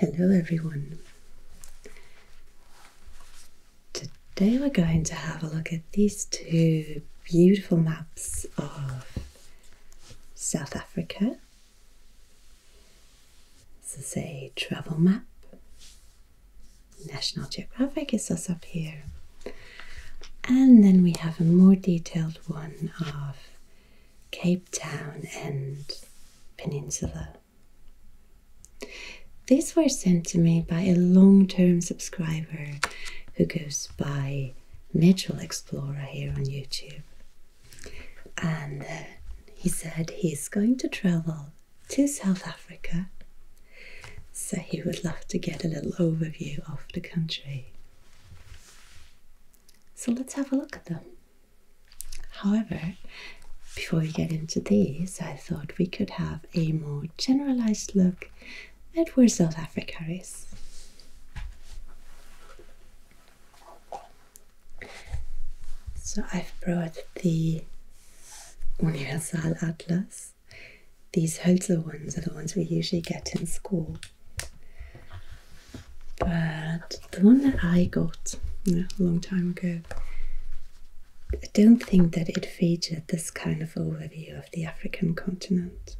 Hello everyone. Today we're going to have a look at these two beautiful maps of South Africa. This is a travel map. National Geographic is us up here. And then we have a more detailed one of Cape Town, and Peninsula. These were sent to me by a long term subscriber who goes by Mitchell Explorer here on YouTube. And uh, he said he's going to travel to South Africa, so he would love to get a little overview of the country. So let's have a look at them. However, before we get into these, I thought we could have a more generalized look at where South Africa is. So I've brought the Universal Atlas. These Hölzer ones are the ones we usually get in school. But the one that I got a long time ago, I don't think that it featured this kind of overview of the African continent.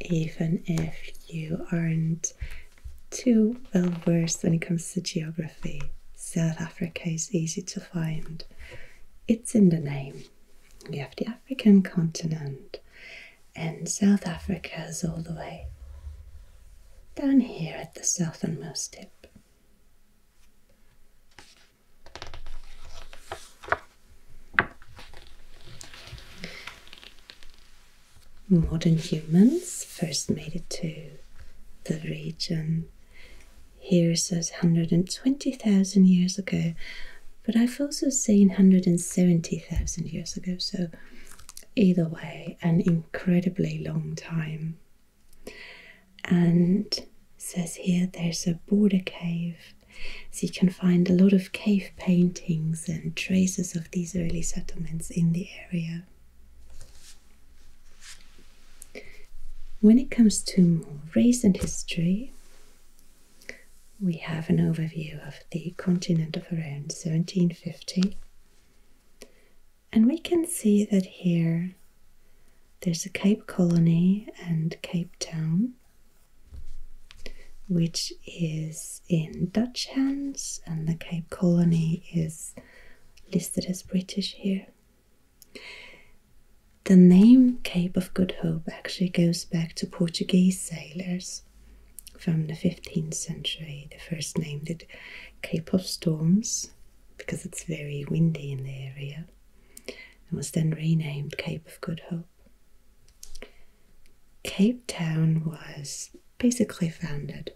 Even if you aren't too well versed when it comes to geography. South Africa is easy to find. It's in the name. We have the African continent, and South Africa is all the way down here at the southernmost tip. Modern humans first made it to the region here it says 120,000 years ago, but I've also seen 170,000 years ago, so either way, an incredibly long time. And says here there's a border cave, so you can find a lot of cave paintings and traces of these early settlements in the area. When it comes to recent history, we have an overview of the continent of around 1750, and we can see that here there's a Cape Colony and Cape Town, which is in Dutch hands, and the Cape Colony is listed as British here. The name Cape of Good Hope actually goes back to Portuguese sailors from the 15th century. They first named it Cape of Storms because it's very windy in the area and was then renamed Cape of Good Hope. Cape Town was basically founded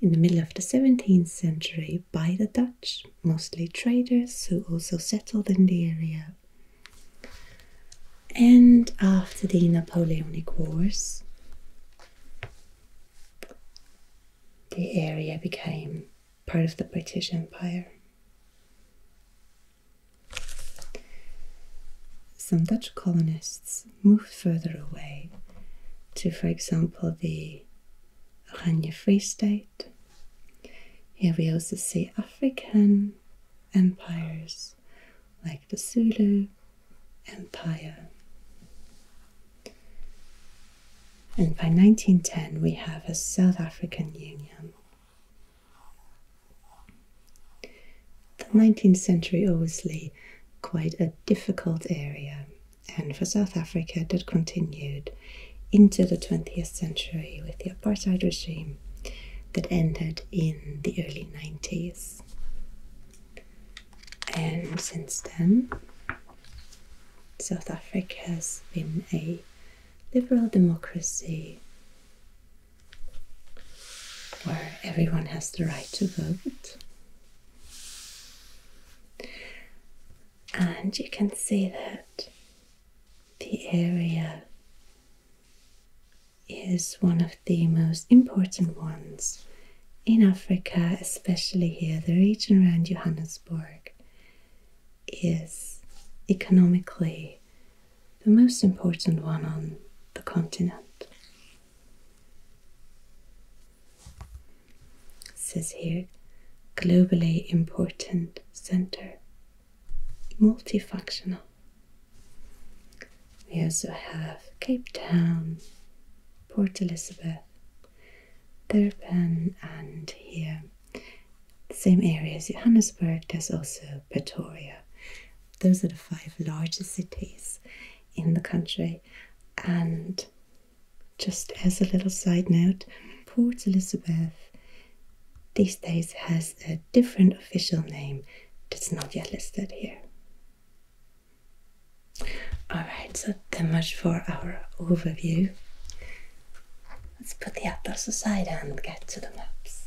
in the middle of the 17th century by the Dutch mostly traders who also settled in the area. And after the Napoleonic Wars, the area became part of the British Empire. Some Dutch colonists moved further away to, for example, the Oranje Free State here we also see African empires like the Zulu Empire. And by 1910, we have a South African Union. The 19th century obviously quite a difficult area and for South Africa that continued into the 20th century with the apartheid regime that ended in the early 90s. And since then, South Africa has been a liberal democracy where everyone has the right to vote and you can see that the area is one of the most important ones in Africa, especially here. The region around Johannesburg is economically the most important one on the continent. It says here globally important center, multifunctional. We also have Cape Town, Port Elizabeth, Durban, and here same area as Johannesburg, there's also Pretoria. Those are the five largest cities in the country, and just as a little side note, Port Elizabeth these days has a different official name that's not yet listed here. Alright, so that much for our overview. Let's put the atlas aside and get to the maps.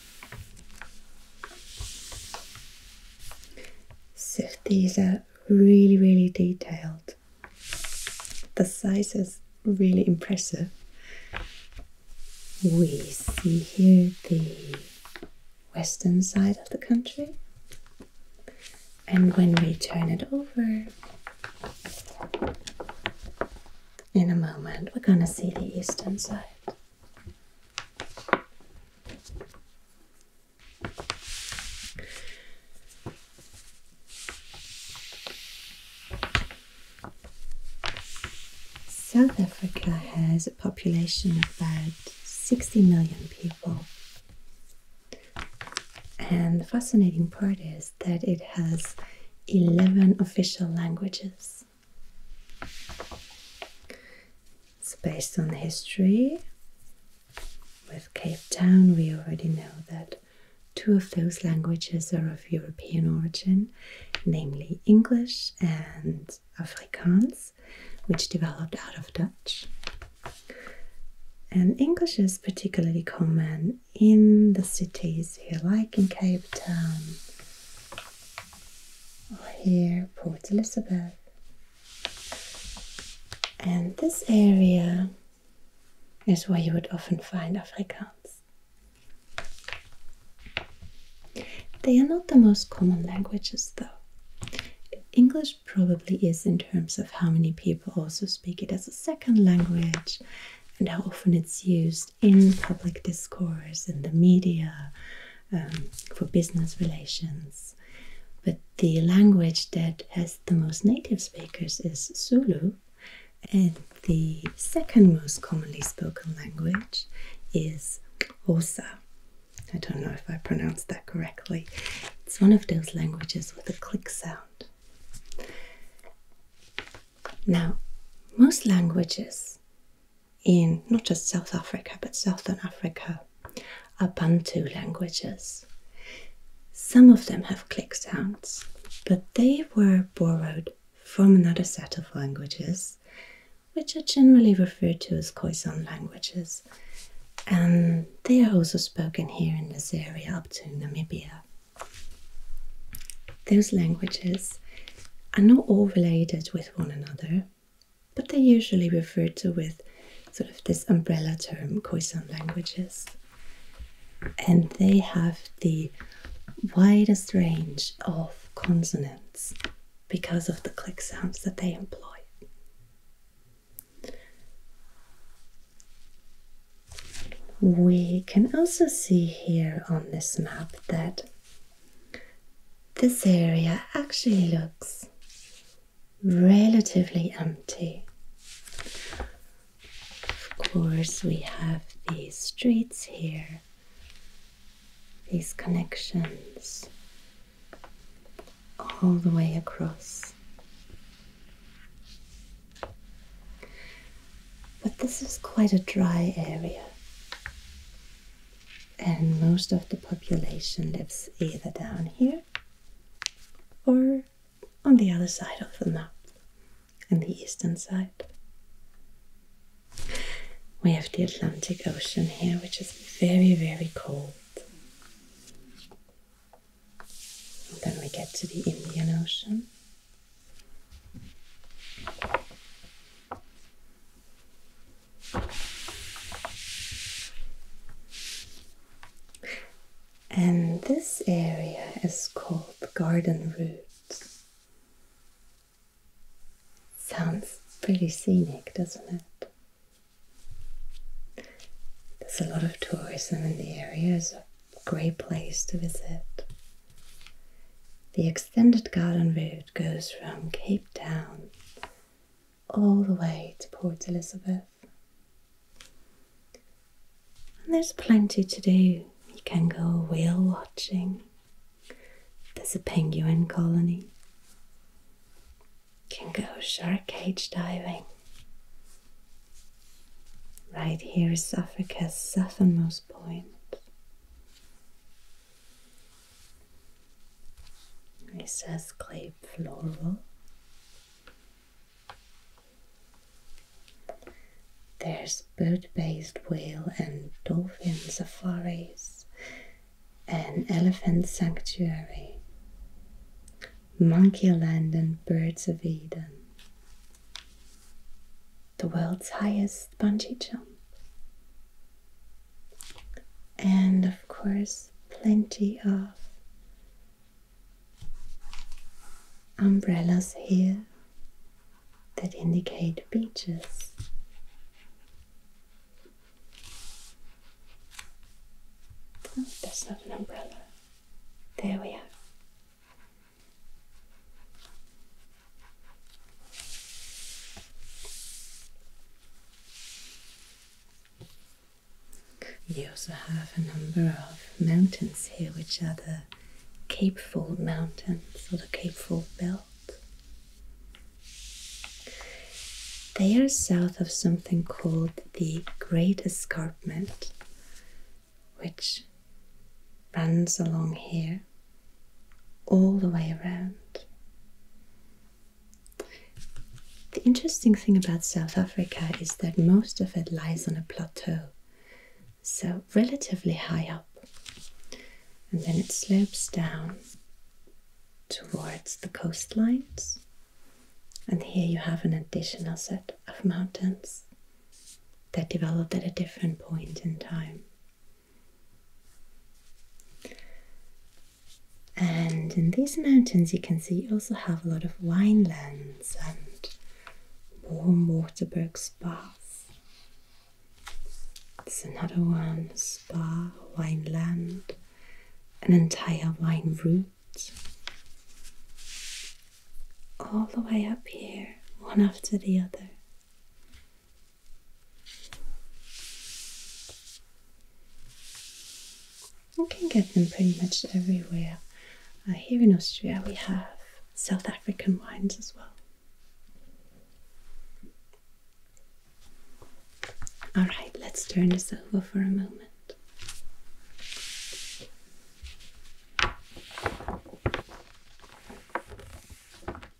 So these are really, really detailed. The size is really impressive. We see here the western side of the country. And when we turn it over, in a moment, we're going to see the eastern side. South Africa has a population of about 60 million people. And the fascinating part is that it has 11 official languages. It's based on history. With Cape Town, we already know that two of those languages are of European origin, namely English and Afrikaans, which developed out of Dutch. And English is particularly common in the cities here, like in Cape Town, here Port Elizabeth and this area is where you would often find Afrikaans. They are not the most common languages though. English probably is in terms of how many people also speak it as a second language and how often it's used in public discourse, in the media, um, for business relations. But the language that has the most native speakers is Zulu, and the second most commonly spoken language is Xhosa. I don't know if I pronounced that correctly. It's one of those languages with a click sound. Now, most languages in not just South Africa but Southern Africa are Bantu languages. Some of them have click sounds, but they were borrowed from another set of languages, which are generally referred to as Khoisan languages, and they are also spoken here in this area up to Namibia. Those languages are not all related with one another, but they're usually referred to with sort of this umbrella term, Khoisan languages. And they have the widest range of consonants because of the click sounds that they employ. We can also see here on this map that this area actually looks relatively empty. Of course, we have these streets here, these connections all the way across. But this is quite a dry area and most of the population lives either down here or on the other side of the map, on the eastern side. We have the Atlantic Ocean here, which is very, very cold. then we get to the Indian Ocean. And this area is called Garden Route. Sounds pretty scenic, doesn't it? There's a lot of tourism in the area, it's a great place to visit. The extended garden Route road goes from Cape Town all the way to Port Elizabeth. And there's plenty to do. You can go whale watching, there's a penguin colony, you can go shark cage diving. Right here is Africa's southernmost point. It says clay floral. There's bird based whale and dolphin safaris, an elephant sanctuary, monkey land, and birds of Eden. The world's highest bungee jump and of course, plenty of umbrellas here that indicate beaches. Oh, that's not an umbrella. There we are. You also have a number of mountains here, which are the Cape Fold Mountains or the Cape Fold Belt. They are south of something called the Great Escarpment, which runs along here all the way around. The interesting thing about South Africa is that most of it lies on a plateau, so relatively high up, and then it slopes down towards the coastlines. And here you have an additional set of mountains that developed at a different point in time. And in these mountains, you can see also have a lot of winelands and warm water brooks spas. It's another one spa, wineland, an entire wine route. All the way up here, one after the other. You can get them pretty much everywhere. Uh, here in Austria, we have South African wines as well. All right, let's turn this over for a moment.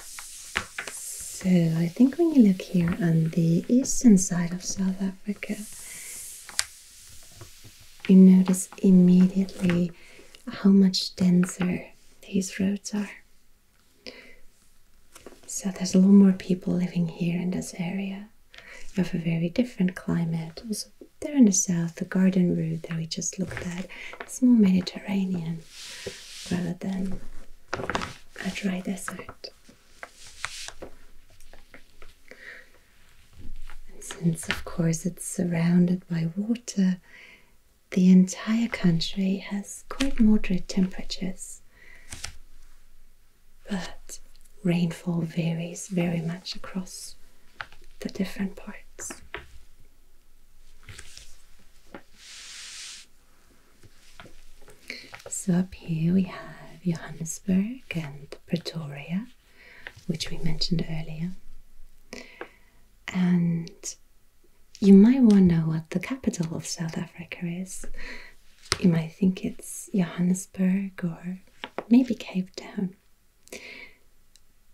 So, I think when you look here on the eastern side of South Africa, you notice immediately how much denser these roads are. So, there's a lot more people living here in this area. You have a very different climate. Also, there in the south, the garden route that we just looked at, it's more Mediterranean rather than a dry desert. since, of course, it's surrounded by water, the entire country has quite moderate temperatures. But rainfall varies very much across the different parts. So up here we have Johannesburg and Pretoria, which we mentioned earlier. And you might wonder what the capital of South Africa is. You might think it's Johannesburg or maybe Cape Town.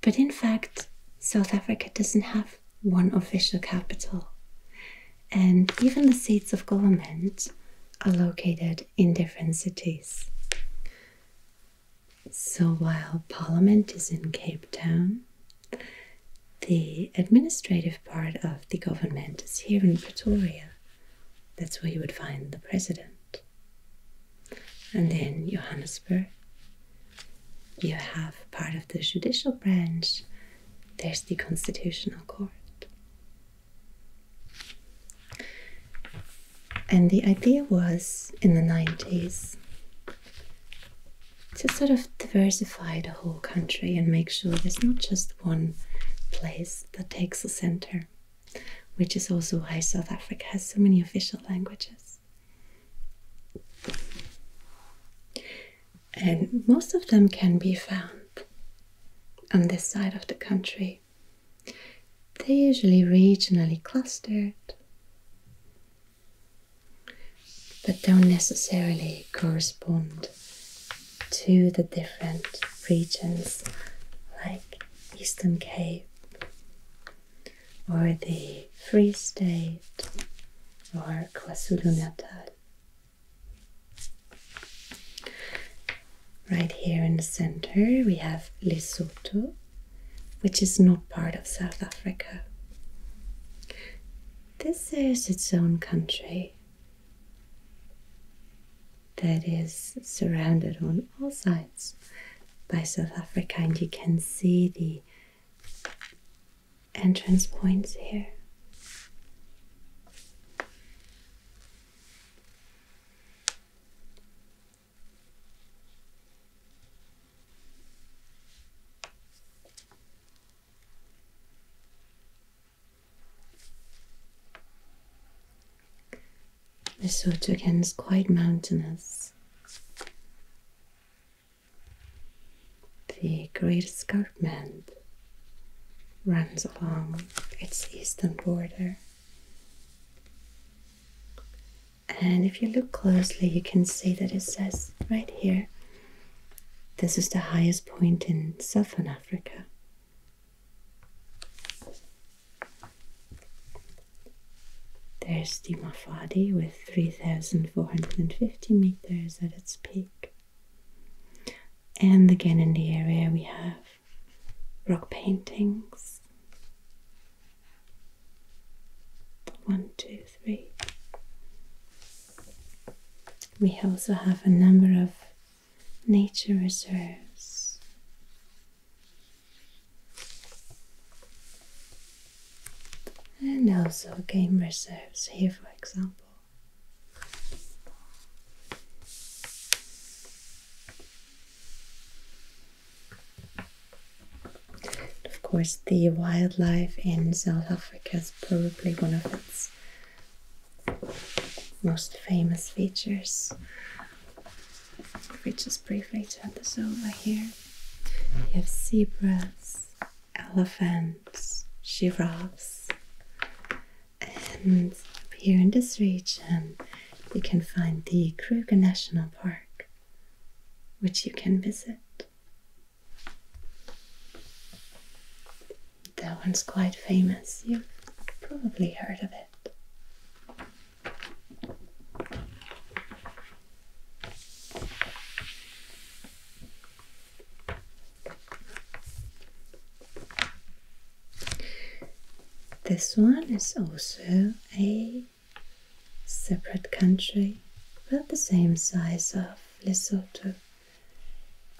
But in fact, South Africa doesn't have one official capital. And even the seats of government are located in different cities. So while Parliament is in Cape Town, the administrative part of the government is here in Pretoria. That's where you would find the president. And then Johannesburg you have part of the judicial branch, there's the constitutional court. And the idea was in the 90s to sort of diversify the whole country and make sure there's not just one place that takes the center, which is also why South Africa has so many official languages. And most of them can be found on this side of the country. They're usually regionally clustered, but don't necessarily correspond to the different regions like Eastern Cape or the Free State or KwaZulu-Natal. Right here in the center we have Lesotho, which is not part of South Africa. This is its own country that is surrounded on all sides by South Africa, and you can see the entrance points here. Lesotho again is quite mountainous. The Great Escarpment runs along its eastern border. And if you look closely, you can see that it says right here this is the highest point in southern Africa. There's the with 3,450 meters at its peak. And again, in the area, we have rock paintings. One, two, three. We also have a number of nature reserves and also game reserves here, for example. Of course, the wildlife in South Africa is probably one of its most famous features. If we just briefly turn this over here, you have zebras, elephants, giraffes, and up here in this region you can find the Kruger National Park, which you can visit. That one's quite famous, you've probably heard of it. This one is also a separate country, but the same size of Lesotho.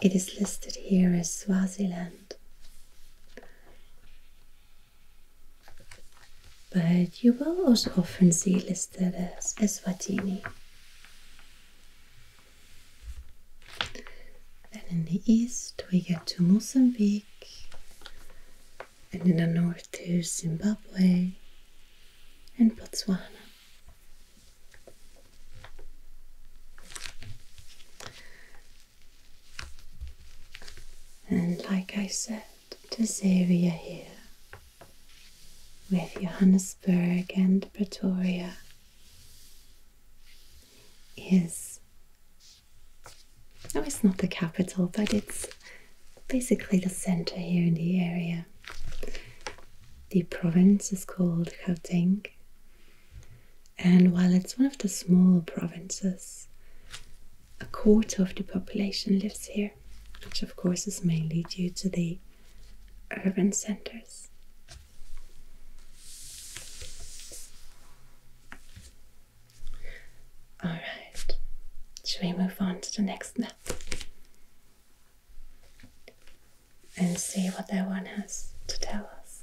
It is listed here as Swaziland. But you will also often see listed as Eswatini then in the east we get to Mozambique, and in the north there's Zimbabwe and Botswana. And like I said, this area here with Johannesburg and Pretoria is oh, it's not the capital, but it's basically the center here in the area. The province is called Gauteng, and while it's one of the smaller provinces, a quarter of the population lives here, which of course is mainly due to the urban centers. All right, should we move on to the next map and see what that one has to tell us?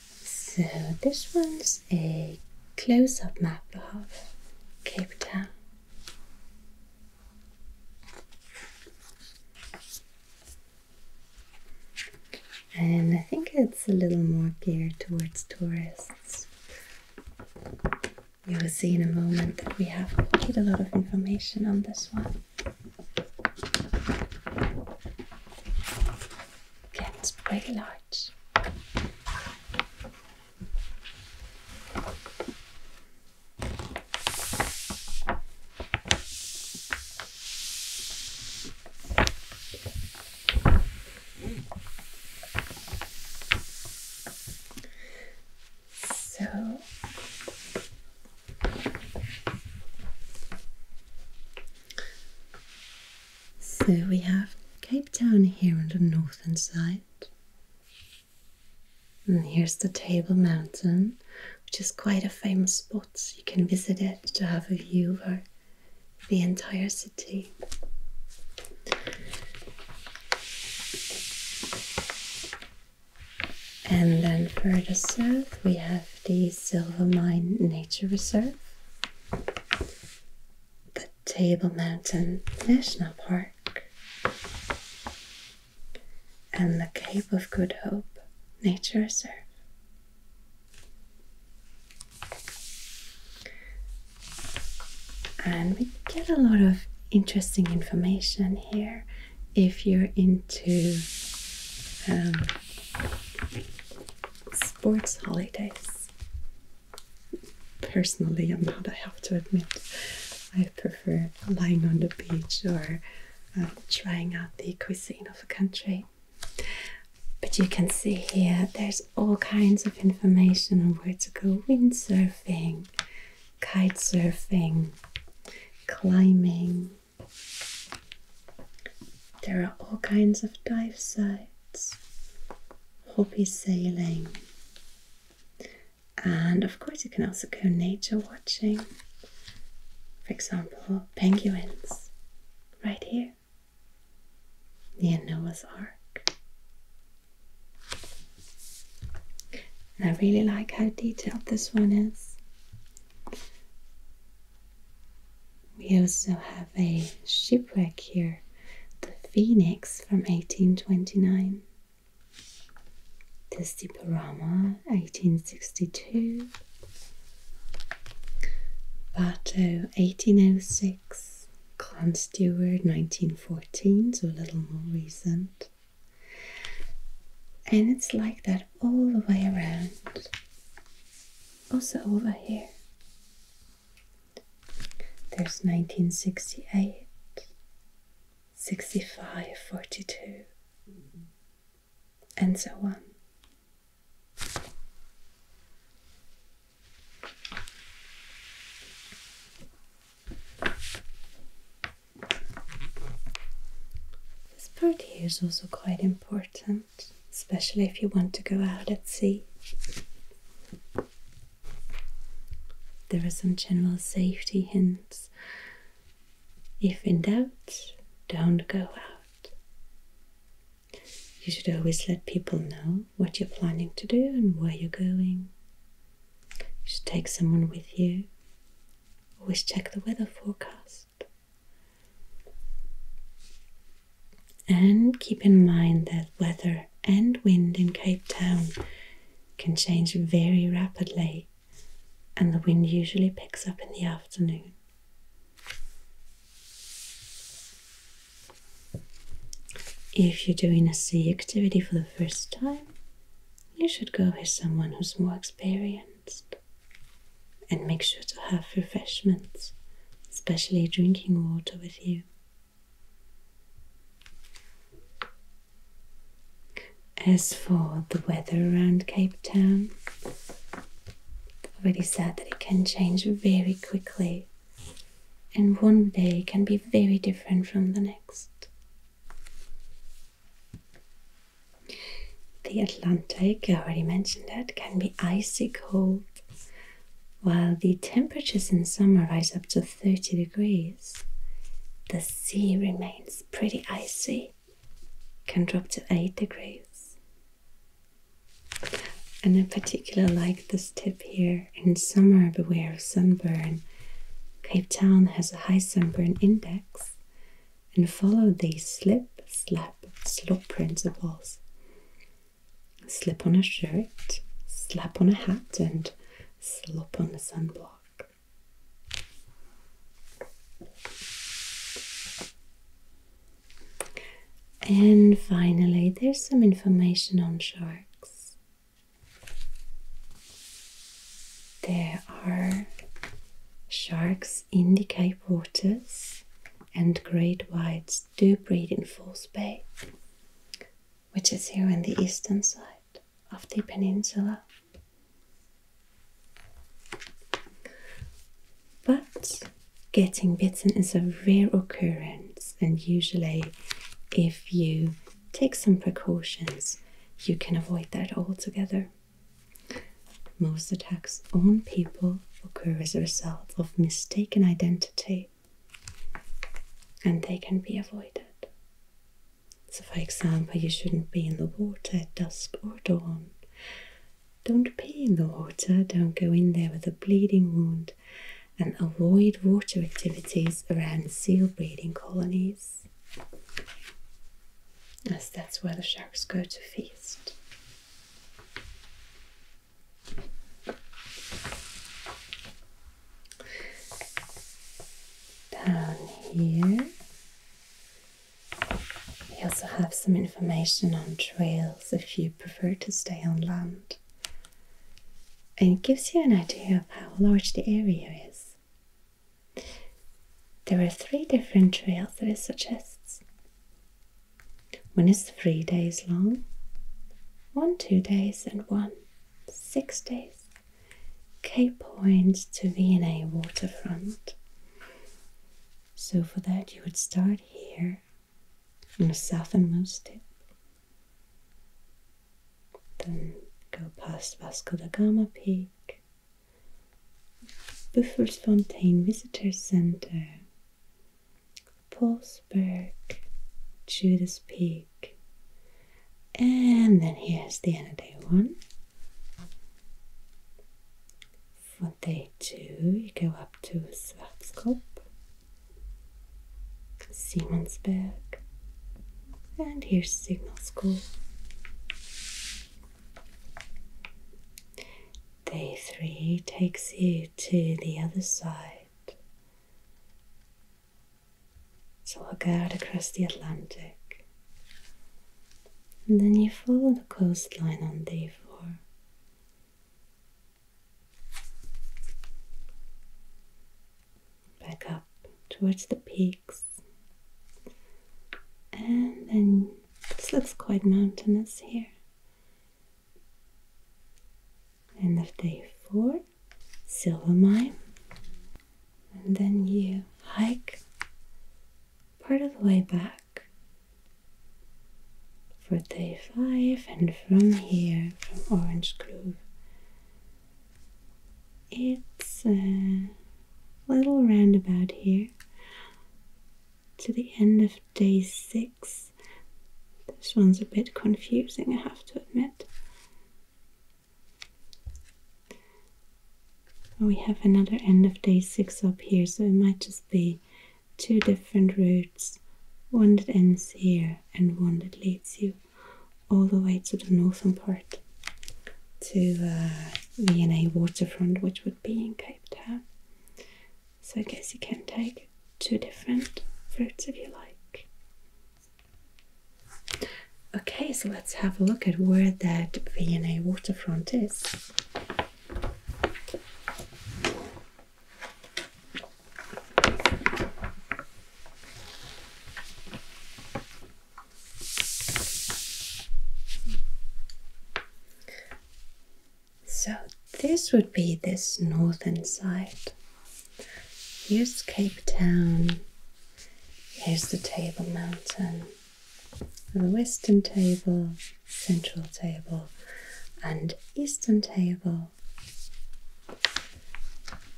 So this one's a close-up map of Cape Town. And I think it's a little more geared towards tourists. You will see in a moment that we have quite a lot of information on this one gets pretty large. So so we have Cape Town here on the northern side. And here's the Table Mountain, which is quite a famous spot. You can visit it to have a view of the entire city. And then further south, we have the Silver Nature Reserve the Table Mountain National Park, and the Cape of Good Hope Nature Reserve. And we get a lot of interesting information here if you're into um, sports holidays. Personally, I'm not, I have to admit, I prefer lying on the beach or uh, trying out the cuisine of a country. But you can see here there's all kinds of information on where to go windsurfing, kite surfing, climbing. There are all kinds of dive sites hobby sailing, and of course, you can also go nature watching. For example, penguins right here near Noah's Ark. I really like how detailed this one is. We also have a shipwreck here, the Phoenix from 1829, the Stiporama 1862, Bato 1806, Con Steward 1914, so a little more recent. And it's like that all the way around. Also over here. There's 1968, 65, 42, and so on. This part here is also quite important especially if you want to go out at sea. There are some general safety hints. If in doubt, don't go out. You should always let people know what you're planning to do and where you're going. You should take someone with you. Always check the weather forecast. And keep in mind that weather and wind in Cape Town can change very rapidly, and the wind usually picks up in the afternoon. If you're doing a sea activity for the first time, you should go with someone who's more experienced and make sure to have refreshments, especially drinking water with you. As for the weather around Cape Town, I've already said that it can change very quickly, and one day can be very different from the next. The Atlantic, I already mentioned that, can be icy cold while the temperatures in summer rise up to 30 degrees, the sea remains pretty icy, can drop to 8 degrees. And I particularly like this tip here in summer, beware of sunburn. Cape Town has a high sunburn index, and follow the slip, slap, slop principles slip on a shirt, slap on a hat, and slop on the sunblock. And finally, there's some information on sharks. There are sharks in the Cape waters and great whites do breed in False Bay, which is here on the eastern side of the peninsula. But getting bitten is a rare occurrence, and usually, if you take some precautions, you can avoid that altogether. Most attacks on people occur as a result of mistaken identity and they can be avoided. So, for example, you shouldn't be in the water at dusk or dawn. Don't pee in the water, don't go in there with a bleeding wound, and avoid water activities around seal breeding colonies, as that's where the sharks go to feast. Down here, we also have some information on trails if you prefer to stay on land. And it gives you an idea of how large the area is. There are three different trails that it suggests. One is three days long, one two days, and one six days. K Point to V&A waterfront. So for that you would start here from the southernmost tip, then go past Vasco da Gama Peak, Büffelsfontein Visitor Center, pulls back Judas Peak, and then here's the end of day one. For day two, you go up to Svartskop, Siemensberg, and here's Signal School. Day three takes you to the other side. So walk out across the Atlantic. And then you follow the coastline on day four. Back up towards the peaks. And then it looks quite mountainous here end of day four silver mine and then you hike part of the way back for day five and from here from orange grove it's a little roundabout here to the end of day six this one's a bit confusing, I have to admit. Oh, we have another end of day six up here, so it might just be two different routes one that ends here and one that leads you all the way to the northern part to uh, V&A waterfront, which would be in Cape Town. So I guess you can take two different routes if you like. Okay, so let's have a look at where that V&A waterfront is. So, this would be this northern side. Here's Cape Town, here's the Table Mountain, the western table, central table, and eastern table.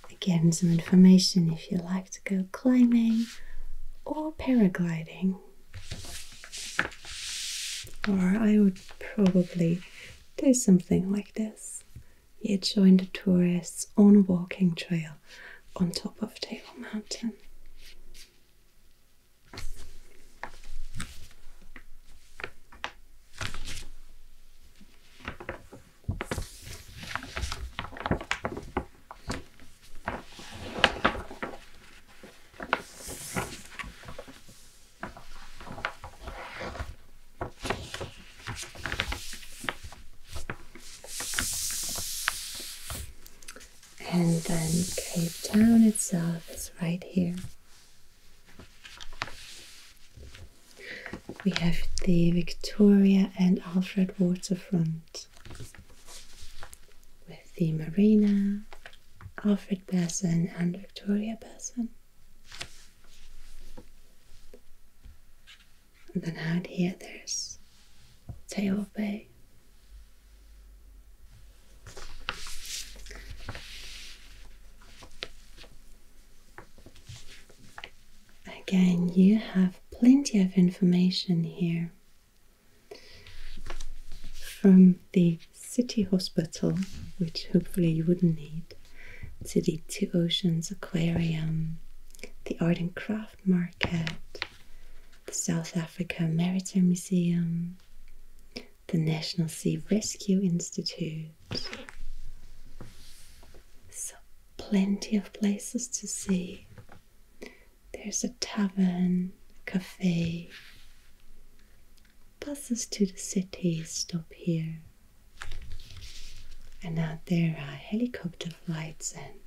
Again, some information if you like to go climbing or paragliding. Or I would probably do something like this. You join the tourists on a walking trail on top of Table Mountain. And then Cape Town itself is right here. We have the Victoria and Alfred waterfront with the marina, Alfred Basin, and Victoria Basin. And then out here there's Tail Bay. Again, you have plenty of information here from the city hospital, which hopefully you wouldn't need, to Two Oceans Aquarium, the Art and Craft Market, the South Africa Maritime Museum, the National Sea Rescue Institute. So, plenty of places to see. There's a tavern, cafe, Buses to the city stop here. And out there are helicopter flights, and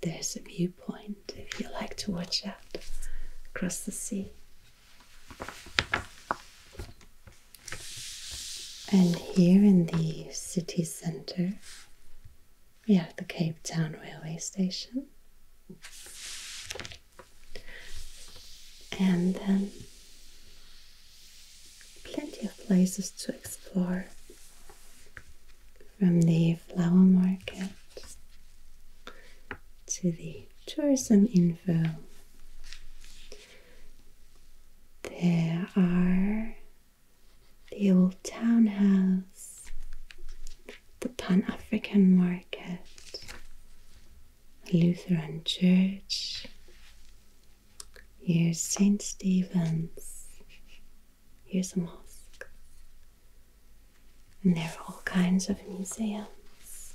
there's a viewpoint if you like to watch out across the sea. And here in the city centre, we have the Cape Town railway station and then plenty of places to explore from the flower market to the tourism info. There are the old townhouse, the Pan African market, Lutheran Church. Here's St. Stephen's. Here's a mosque. And there are all kinds of museums,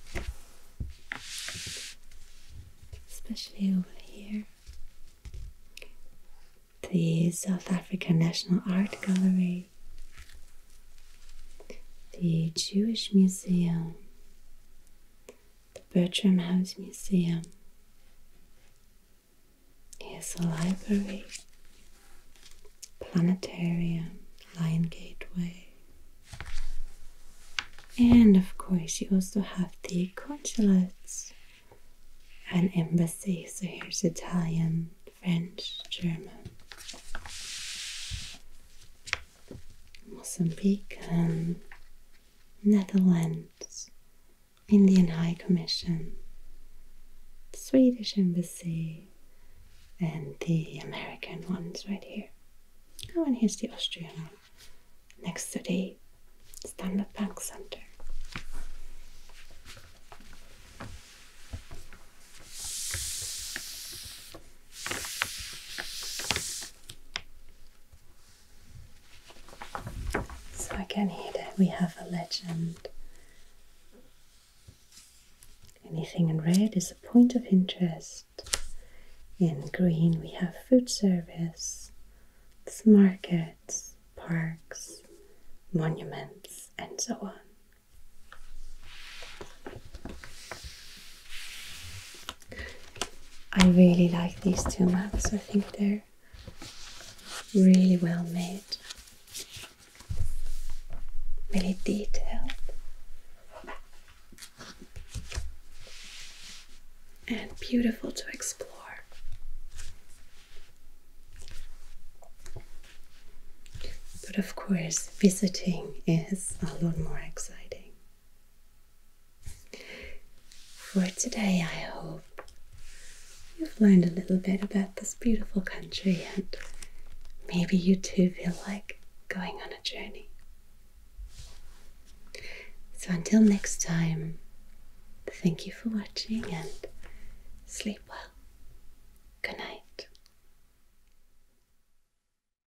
especially over here. The South African National Art Gallery, the Jewish Museum, the Bertram House Museum. Here's a library, planetarium, Lion Gateway, and of course, you also have the consulates and embassy. So, here's Italian, French, German. Mozambique Netherlands, Indian High Commission, Swedish Embassy, and the American ones right here. Oh, and here's the Austrian one next to the Standard Bank Center. So again here we have a legend. Anything in red is a point of interest. In green we have food service, markets, parks, monuments and so on. I really like these two maps. I think they're really well made, really detailed. And beautiful to explore. But of course, visiting is a lot more exciting. For today, I hope you've learned a little bit about this beautiful country and maybe you too feel like going on a journey. So, until next time, thank you for watching and sleep well. Good night.